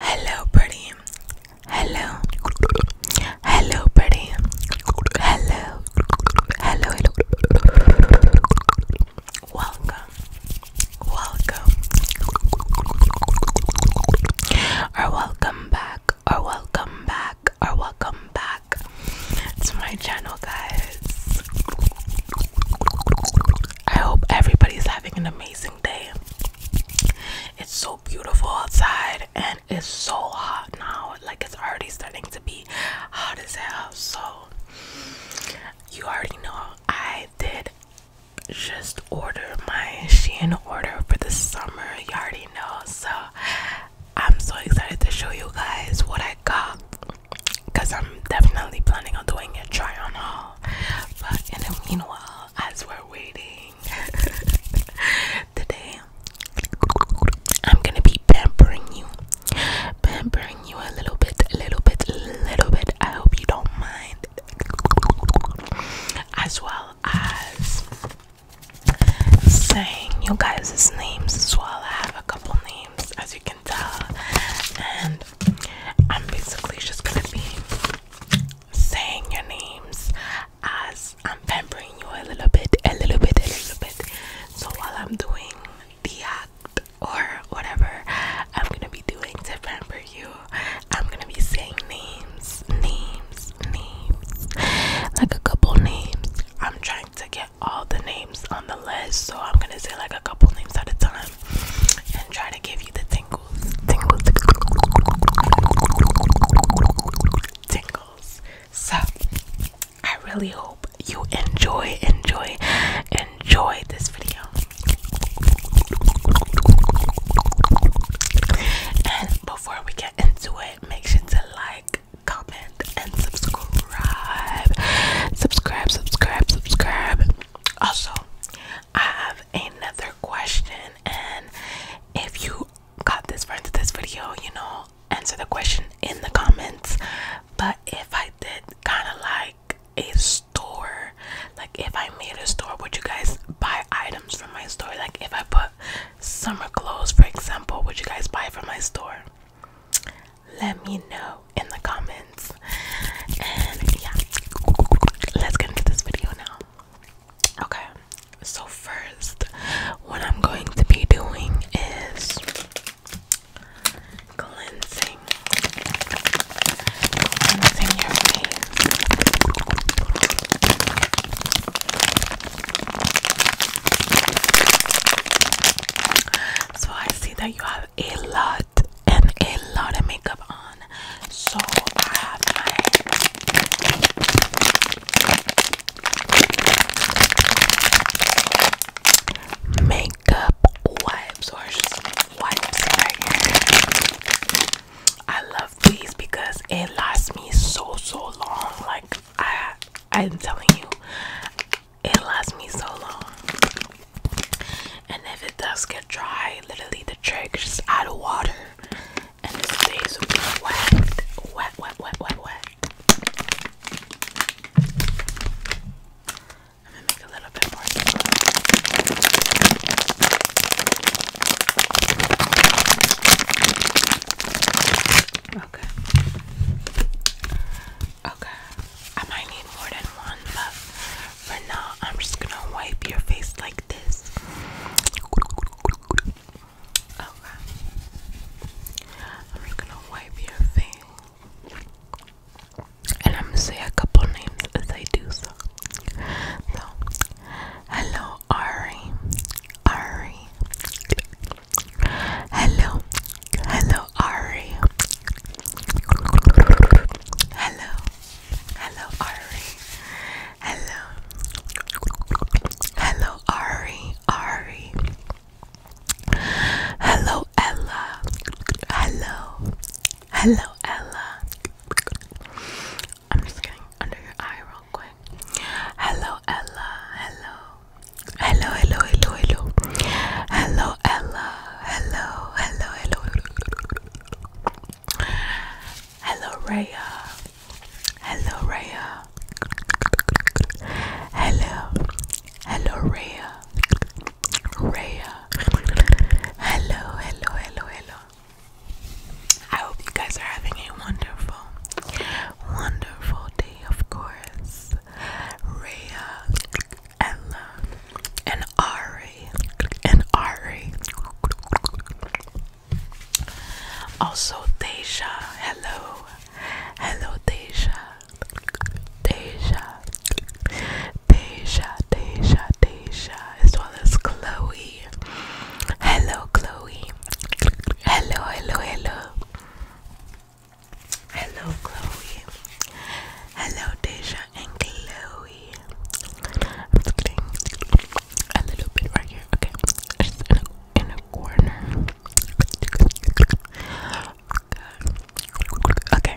Hello, buddy. Hello. Hello, pretty. Hello. Hello, hello. Welcome. Welcome. Or welcome back. Or welcome back. Or welcome back to my channel, guys. I hope everybody's having an amazing day. It's so beautiful outside and it's so hot now. Like it's already starting to be hot as hell. So you already know I did just order my Shein order for the summer. You already know. So I'm so excited to show you guys what I got because I'm definitely planning on doing a try on haul. But in the meanwhile, as we're waiting today I'm gonna be pampering you pampering you a little bit a little bit a little bit I hope you don't mind as well as saying you guys' names as well. I have a couple names as you can tell and I'm basically just gonna be saying your names as I'm pampering you a little bit, a little bit, a little bit. So while I'm doing the act or whatever I'm gonna be doing to pamper you, I'm gonna be saying names, names, names, like a couple names. I'm trying to get all the names on the list, so I'm gonna say like a couple names at a time and try to give you the tingles, tingles, tingles. So, I really hope you enjoy, enjoy, enjoy this video. And before we get into it, make sure to like, comment, and subscribe. Subscribe, subscribe, subscribe. Also, I have another question, and if you got this far into this video, you know, answer the question in the comments. But if I did kind of like a store, like if I made a store, would you guys buy items from my store? Like if I put summer clothes, for example, would you guys buy from my store? Let me know in the comments. And yeah, let's get into this video now. Okay, so first, what I'm going to be doing is cleansing, cleansing your face. So I see that you have a lot and a lot of makeup on. So I have my makeup wipes or just I love these because it lasts me so so long. Like I I'm telling you, it lasts me so long. And if it does get dry, literally trick just add water and it stays wet, wet, wet, wet, wet, wet. I'm gonna make a little bit more. Okay. Okay. I might need more than one, but for now, I'm just gonna wipe your face like this. Okay. I'm gonna wipe your face. And I'm gonna say a couple names as I do so. So, hello Ari. Ari. Hello. Hello Ari. Hello. Hello, Ari. Hello. Hello, Ari. Ari. Hello, Ella. Hello. Hello, Ella. I'm just getting under your eye real quick. Hello, Ella. Hello. Hello, hello, hello, hello. Hello, Ella. hello, hello. hello. Hello, Raya. Hello, Raya. Hello. Hello, Raya. Raya. Hello, hello, hello, hello. I hope you guys are having a wonderful, wonderful day, of course. Raya, Ella, and Ara and Ari. Also Deja. Hello. Hello Deja. Deja. Deja. Deja. Deja. As well as Chloe. Hello Chloe. Hello, hello, hello. Hello Chloe. Hello Deja and Chloe. A little bit right here. Okay. in a, corner. Okay.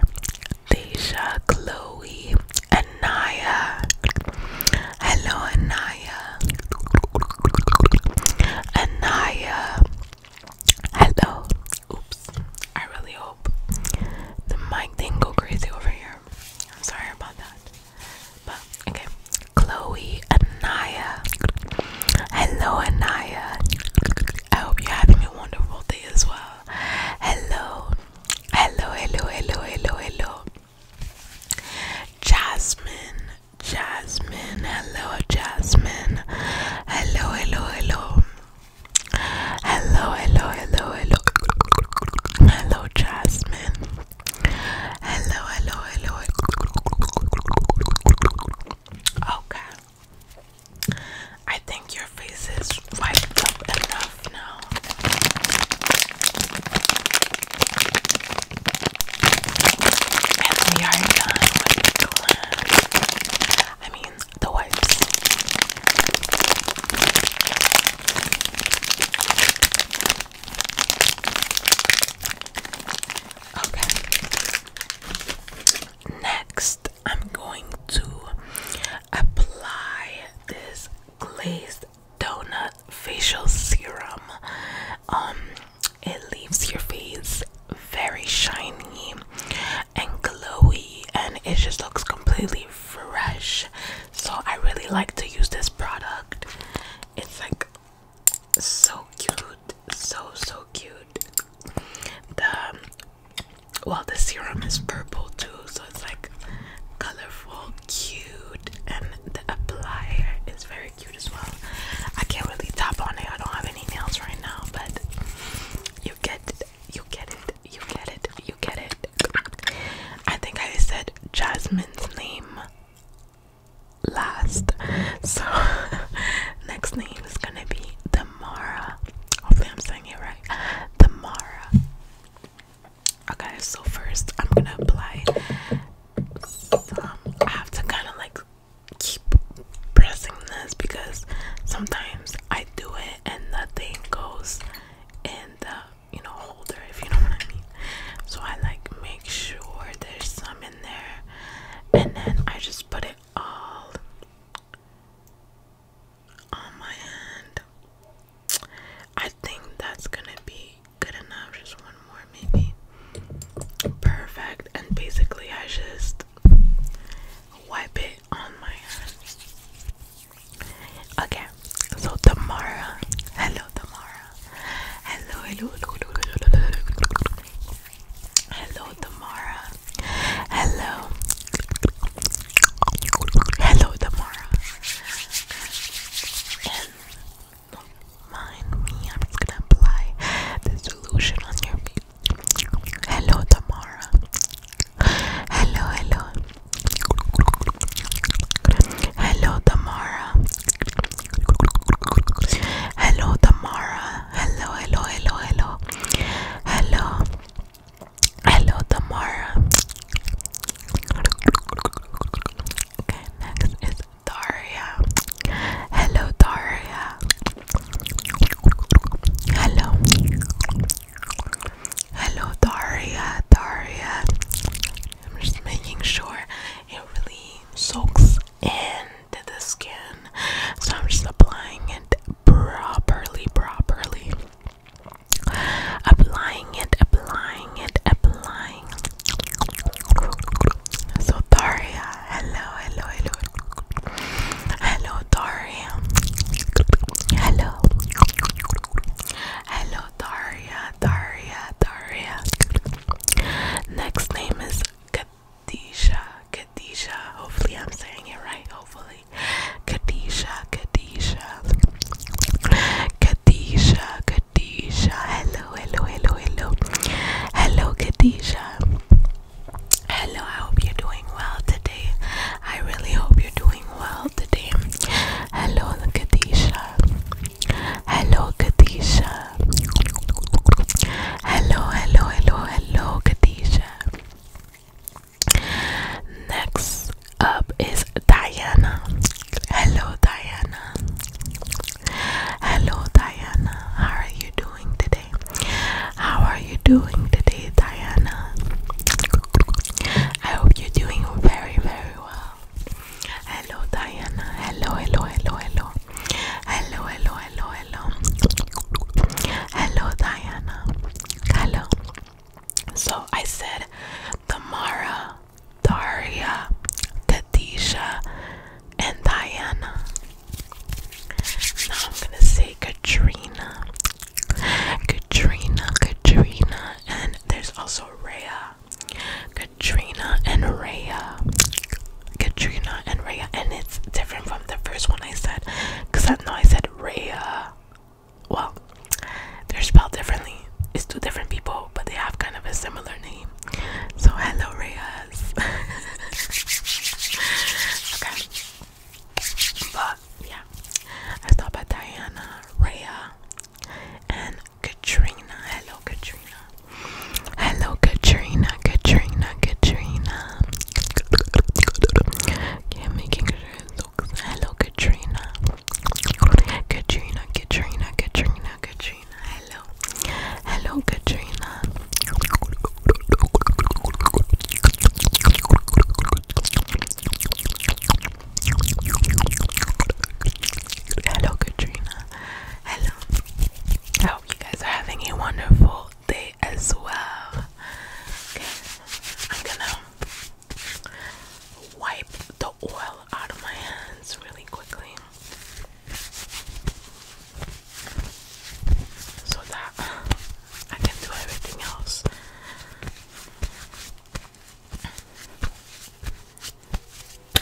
Deja, Chloe, Anaya. Hello, Anaya. Anaya. Hello. Oops. I really hope the mic didn't go crazy over here. I'm sorry about that. But okay. Chloe Anaya. Hello Anaya. I hope you're having a wonderful day as well. Hello. Hello, hello, hello, hello, hello. Jasmine. Jasmine. Hello, Jasmine. Hello, hello, hello. Hello, hello, hello, hello, Jasmine. Hello, hello, hello. Okay, I think your face is wiped up enough now. And we are done I mean, the wipes. Okay. Next, I'm going to apply this glazed donut facial serum. Um it leaves your face very shiny and glowy and it just looks completely fresh so I really like to use this product. It's like so cute, so so cute. The um, well, the serum is purple too, so it's like colorful, cute, and the applier is very cute as well. I can't really tap on it, I don't have any nails right now, but you get you get it. You get it. You get it. I think I said Jasmine's name last. So next name is gonna be Damara. Hopefully I'm saying it right. Damara. Okay, so first I'm gonna apply I have to kinda like keep pressing this because sometimes I do it and nothing goes in you know holder if you know what I mean. So I like make sure there's some in there and then I just put it all on my hand. I think that's gonna be good enough. Just one more maybe. Perfect. And basically I just wipe it on my hand. Okay, so Tamara. Hello, Tamara. Hello, hello, hello, hello, hello, hello. Hello, Tamara. Hello. Hello, Tamara. And don't mind me, I'm just gonna apply the solution on your feet. Hello, Tamara. Hello, hello. Hello, Tamara. Hello, Tamara. Hello, hello, hello, hello. Hello. Hello, Tamara. Okay, next is Daria. Hello, Daria. Hello. Hello, Daria. Daria. I'm just making sure it really soaks into the skin. So I'm just applying it properly, properly. Applying it, applying it, applying. So Daria, hello, hello, hello. Hello, Daria. Hello. Hello, Daria, Daria, Daria. Next name is Kadisha, Kadisha. Hopefully, I'm saying it right. Hopefully, Kadisha, Kadisha, Kadisha, Kadisha. Hello, hello, hello, hello, hello, Kadisha. Hello, I hope you're doing well today. I really hope you're doing well today. Hello, Katisha. Hello, Katisha. Hello, hello, hello, hello, Katisha. Next up is Diana. Hello, Diana. Hello, Diana. How are you doing today? How are you doing today, Diana? I hope you're doing very, very well. Hello, Diana. Hello, hello, hello, hello. Hello, hello, hello, hello. Hello, Diana. Hello. So I said Tamara, Daria, Katisha, and Diana. Now I'm gonna say Katrina, Katrina, Katrina, and there's also Rhea. Katrina and Rhea. Katrina and Rhea, and it's different from the first one I said because I know I said Rhea. Well, they're spelled differently. It's two different people, but they have kind of a similar name. So, hello, Reyes. okay. But yeah, I stopped by Diana, Rhea, and Katrina. Hello, Katrina. Hello, Katrina. Katrina. Katrina. Yeah, making sure it looks. Hello, Katrina. Katrina. Katrina. Katrina. Katrina. Hello. Hello, Katrina. Hello, Katrina. Hello. I hope you guys are having a wonderful day as well. Okay, I'm gonna wipe the oil out of my hands really quickly so that I can do everything else.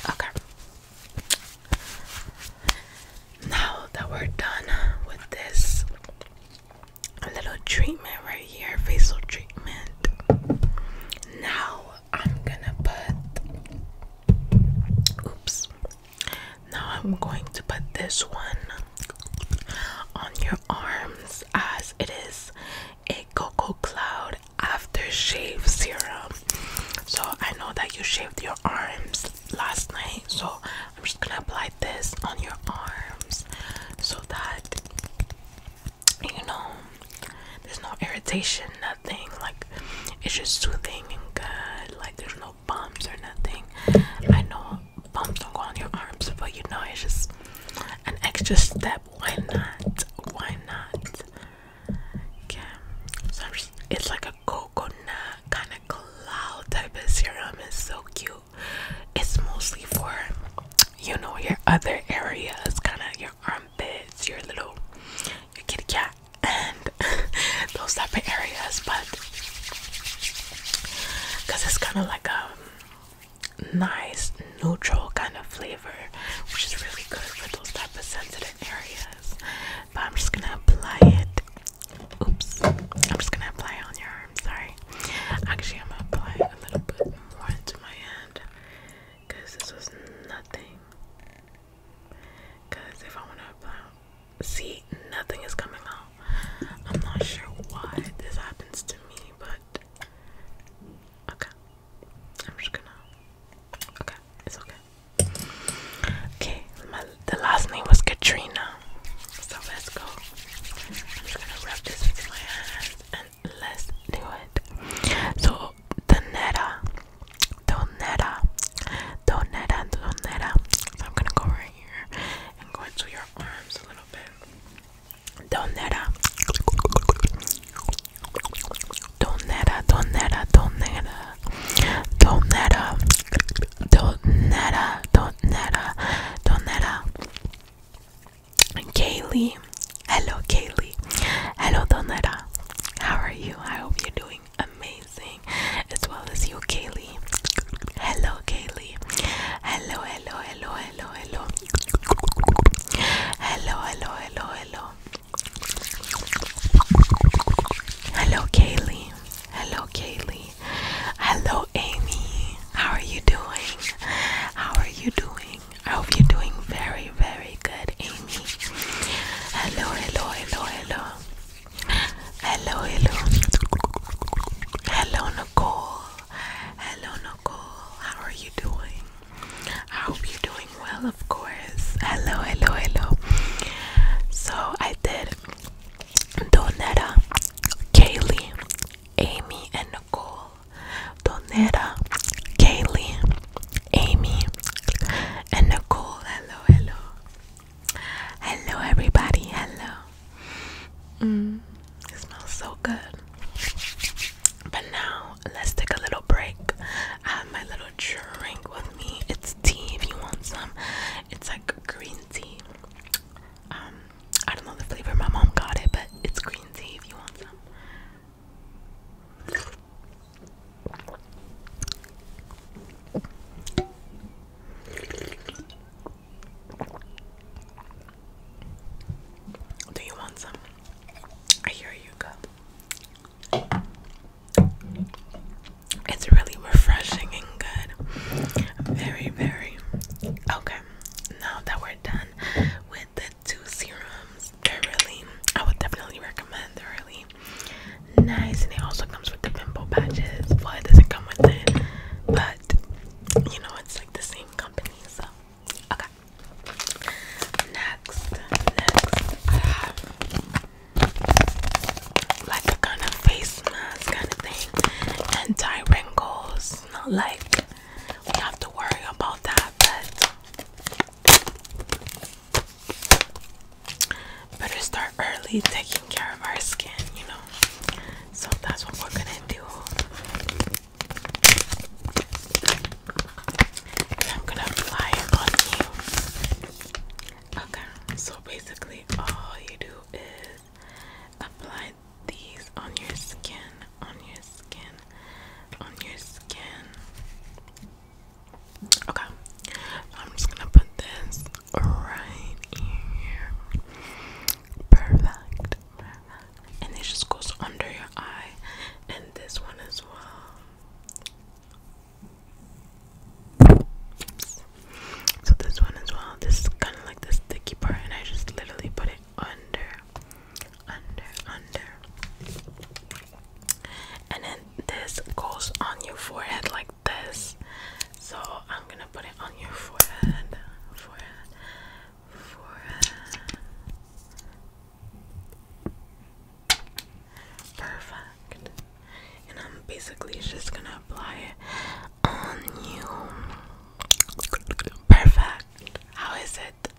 Okay. Now that we're done with this little treatment right here, facial treatment, now I'm gonna put. Oops. Now I'm going to put this one on your arms as it is a Coco cloud After Shave serum. So I know that you shaved your arms last night, so I'm just gonna apply this on your arms so that you know there's no irritation, nothing like it's just soothing and good, like there's no bumps or nothing. I know bumps don't go on your arms, but you know it's just an extra step. Why not? Why not? Okay, so it's like a coconut kind of cloud type of serum. It's so cute. It's mostly for you know your other areas, kind of your armpits, your little your kitty cat, and those type of areas. But because it's kind of like a um, nice neutral kind of flavor, which is really good for those type of sensitive areas. But I'm just gonna apply it. Oops, I'm just gonna apply it on your arm. Sorry. Actually, I'm gonna apply a little bit more into my hand because this was nothing. Because if I want to apply, see, nothing is coming out. I'm not sure why this happens to me, but Okay. I'm just gonna. Okay, it's okay. Okay, my, the last name was Katrina. So let's go. I'm just gonna rub this with my hands and let's do it. So, Donera. Donera. Donera, Donera. I'm gonna go right here and go into your arms a little bit. ¿Dónde era? ¿Dónde era? ¿Dónde era? ¿Dónde era? ¿Dónde era? ¿Dónde era? ¿Dónde era? ¿Dónde era? Kaylee. Hello, Kaylee. Hello, Donera. How are you? I hope you're doing amazing as well as you, Kaylee. Hello, Kaylee lovely. Hello, hello, hello, hello, hello. Hello, hello, hello, hello. Hello, Kaylee. Hello, Kaylee. Hello, Amy. How are you doing? How are you doing? I hope you're doing very, very good, Amy. Hello, hello, hello, hello. Hello, hello. Hello, Nicole. Hello, Nicole. How are you doing? I hope you're doing well, of course. Hello, hello, hello. So I did Donetta, Kaylee, Amy, and Nicole. Donetta, Kaylee, Amy, and Nicole. Hello, hello. Hello, everybody. Hello. Mm, it smells so good. But now let's take a little break. I have my little drink with me. It's tea if you want some. It's like green tea. Um, I don't know the flavor. My mom got it, but it's green tea if you want some. Do you want some? I hear you It's really refreshing and good. Very, very. Okay, now that we're done with the two serums, they're really, I would definitely recommend. They're really nice, and it also comes with the pimple patches. Well, doesn't come with it, but you know, it's like the same company, so Okay. Next, next, I have like a kind of face mask kind of thing, anti wrinkles. Not like we have to worry about that, but better start early taking care of our skin, you know. So that's what we're gonna do. So I'm gonna apply it on you. Okay, so basically, all you do is apply these on your skin, on your skin, on your skin. Okay, I'm just gonna put this right here. Perfect, and it just goes under your eye, and this one as well. So this one as well. This is kind of like the sticky part, and I just literally put it under, under, under, and then this goes on your forehead like this. So I'm gonna put it on your forehead, forehead, forehead. Uh, perfect. And I'm basically just gonna apply it on you. Perfect. How is it?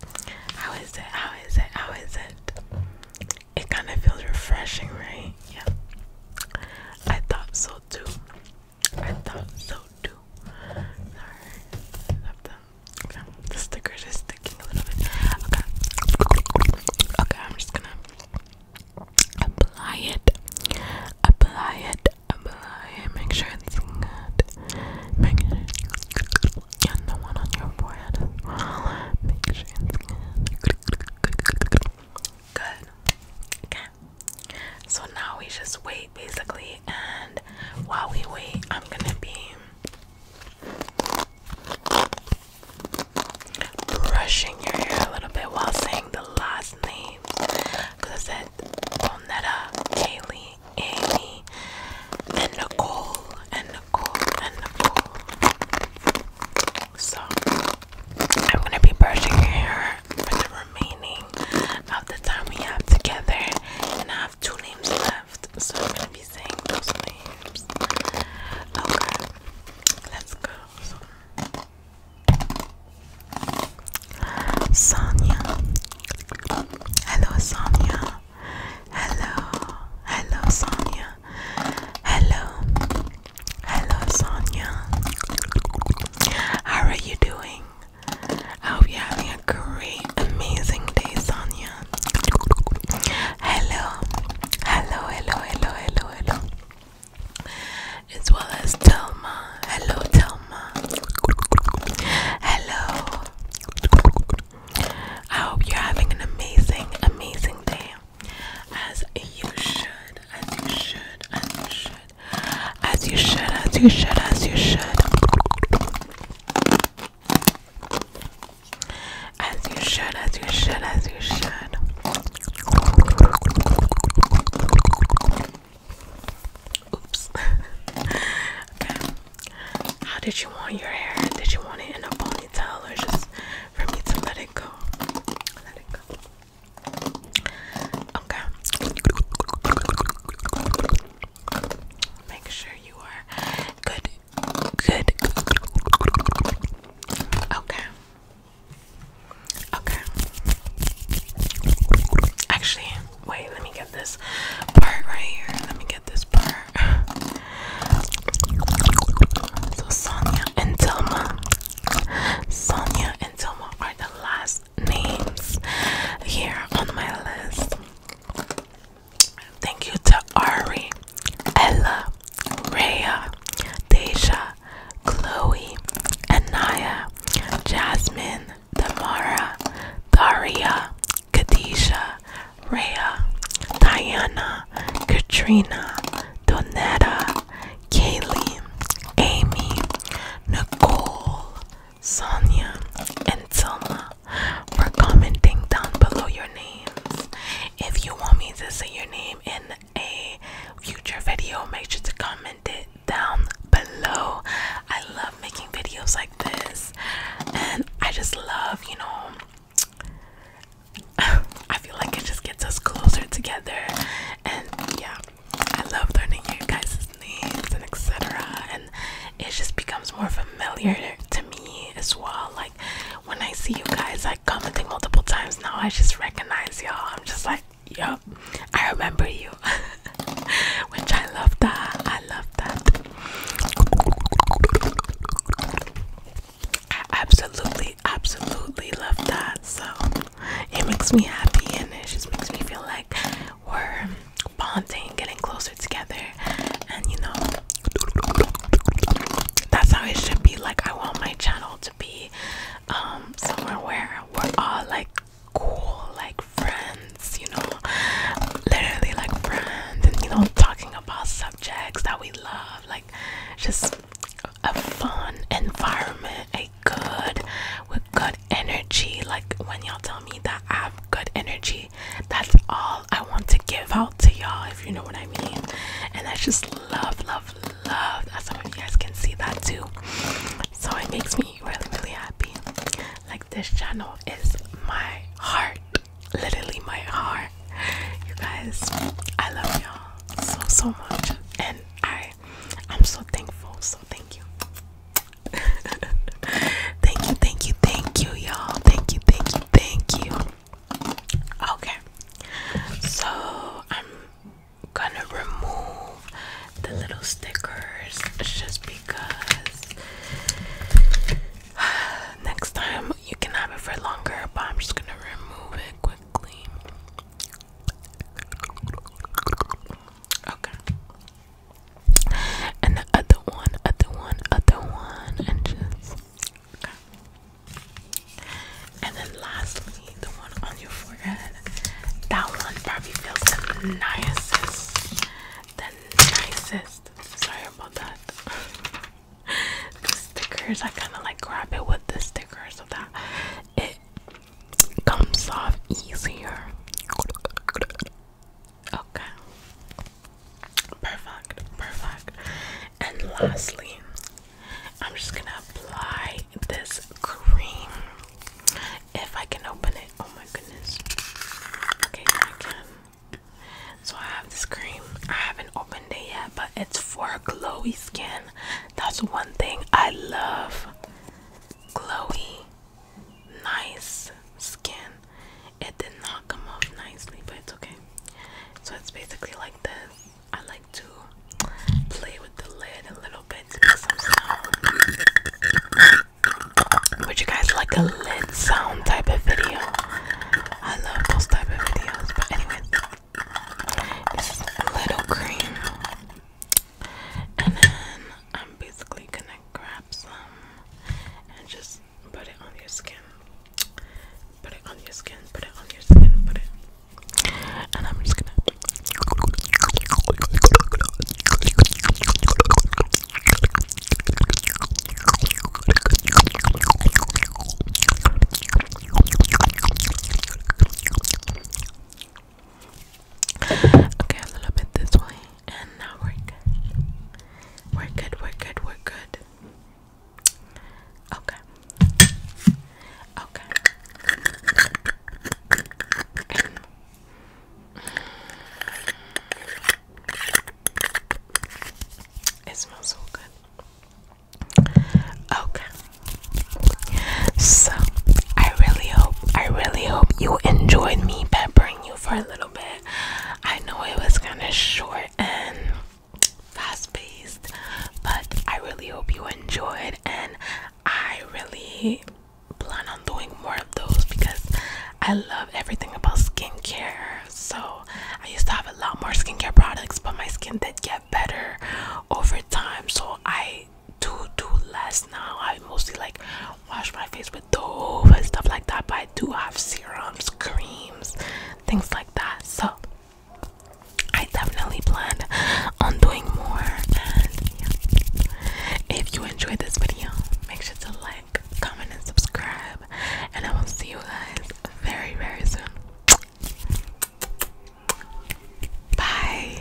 How is it? How is it? How is it? It kind of feels refreshing, right? Yeah. I thought so too. I thought so too. Sorry. The, okay. the stickers is sticking a little bit. Okay. Okay, I'm just gonna apply it. Apply it. Apply it. Make sure it's good. Make sure and the one on your forehead Make sure it's good. Good. Okay. So now we just wait basically, and while we wait, I'm gonna be brushing your hair a little bit while saying the last names because I said Bonetta, Kaylee, Amy, and Nicole, and Nicole, and Nicole. So I'm gonna be brushing your hair for the remaining of the time we have together. And I have two names left, so I'm gonna be saying those names. Okay, let's go. Sonia. Hello, Sonia. Hello. Hello, Sonia. Hello. Hello, Sonia. How are you doing? I hope you're having a great, amazing day, Sonia. Hello, hello, hello, hello, hello, hello. As well as Telma. Hello, Telma. Hello. I hope you're having an amazing, amazing day. As you should, as you should, as you should. As you should, as you should, as you should. As you should, as you should, as you should. Oops. okay. How did you want your hair? Did you want it in a ponytail or just for me to let it go? Let it go. Okay. Make sure you are good. Good. Okay. Okay. Actually, wait, let me get this part right here. Let me get this part. So Sonia and Telma. Sonia and Telma are the last names here on my list. Thank you to Ari, Ella, Rhea, Deja, Chloe, Anaya, Jasmine, Tamara, Daria, Kadisha, Raya, Diana, Katrina, Donetta, Kaylee, Amy, Nicole, Sonia, and Tilma were commenting down below your names. If you want me to say your name in a future video, make sure to comment it down below. I love making videos like this, and I just love, you know. I feel like it just gets us closer together, and yeah, I love learning your guys' names and etc. And it just becomes more familiar to me as well. Like when I see you guys like commenting multiple times now, I just recognize y'all. I'm just like, yep, I remember you. Which I love that. I love that. I absolutely, absolutely love that. So it makes me happy and it just makes me feel like we're bonding, getting closer together, and you know, that's how it should be. Like, I want my channel to be um, somewhere where we're all like cool, like friends, you know, literally like friends, and you know, talking about subjects that we love, like just a fun environment a good with good energy. Like when y'all tell me that I have good energy, that's all I want to give out to y'all, if you know what I mean. And that's just love, love, love. As some of you guys can see that too. So it makes me really, really happy. Like this channel is my heart. Literally my heart. You guys, I love y'all so so much and I I'm so thankful. So thank you. thank you, thank you, thank you, y'all. Thank you, thank you, thank you. Okay, so I'm gonna remove the little stickers just because next time you can have it for longer, but I'm just gonna remove it quickly. Okay. And the other one, other one, other one, and just okay. And then lastly, the one on your forehead. That one probably feels the nicest. The nicest. Sorry about that. the stickers, I kind of like grab it with the stickers of that. It comes off easier. Okay. Perfect, perfect. And lastly, I'm just gonna apply this cream. If I can open it, oh my goodness. Okay, I can. So I have this cream. I haven't opened it yet, but it's for glowy skin. That's one thing I love. Glowy nice skin. It did not come off nicely, but it's okay. So it's basically like this. I like to play with the lid a little bit to make some sound. Would you guys like a lid sound type of video? I love those type of videos. But anyway, this is little cream and then I'm basically gonna grab some and just put it on your skin. Put it on your skin, put it on your skin, put it. And I'm just gonna. Okay, a little bit this way, and now we're good. We're good, we're good, we're good. Okay. Okay. it smells so good. Okay. So, I really hope I really hope you enjoyed me peppering you for a little bit. I know it was kind of short and fast paced, but I really hope you enjoyed, and I really plan on doing more of those because I love everything about skincare. So I used to have a lot more skincare products, but my skin did get better over time. So I do do less now. I mostly like wash my face with Dove and stuff like that, but I do have serums, creams, things like that. So I definitely plan on doing more. And if you enjoyed this video, make sure to like, comment, and subscribe. And I will see you guys very, very soon. Bye.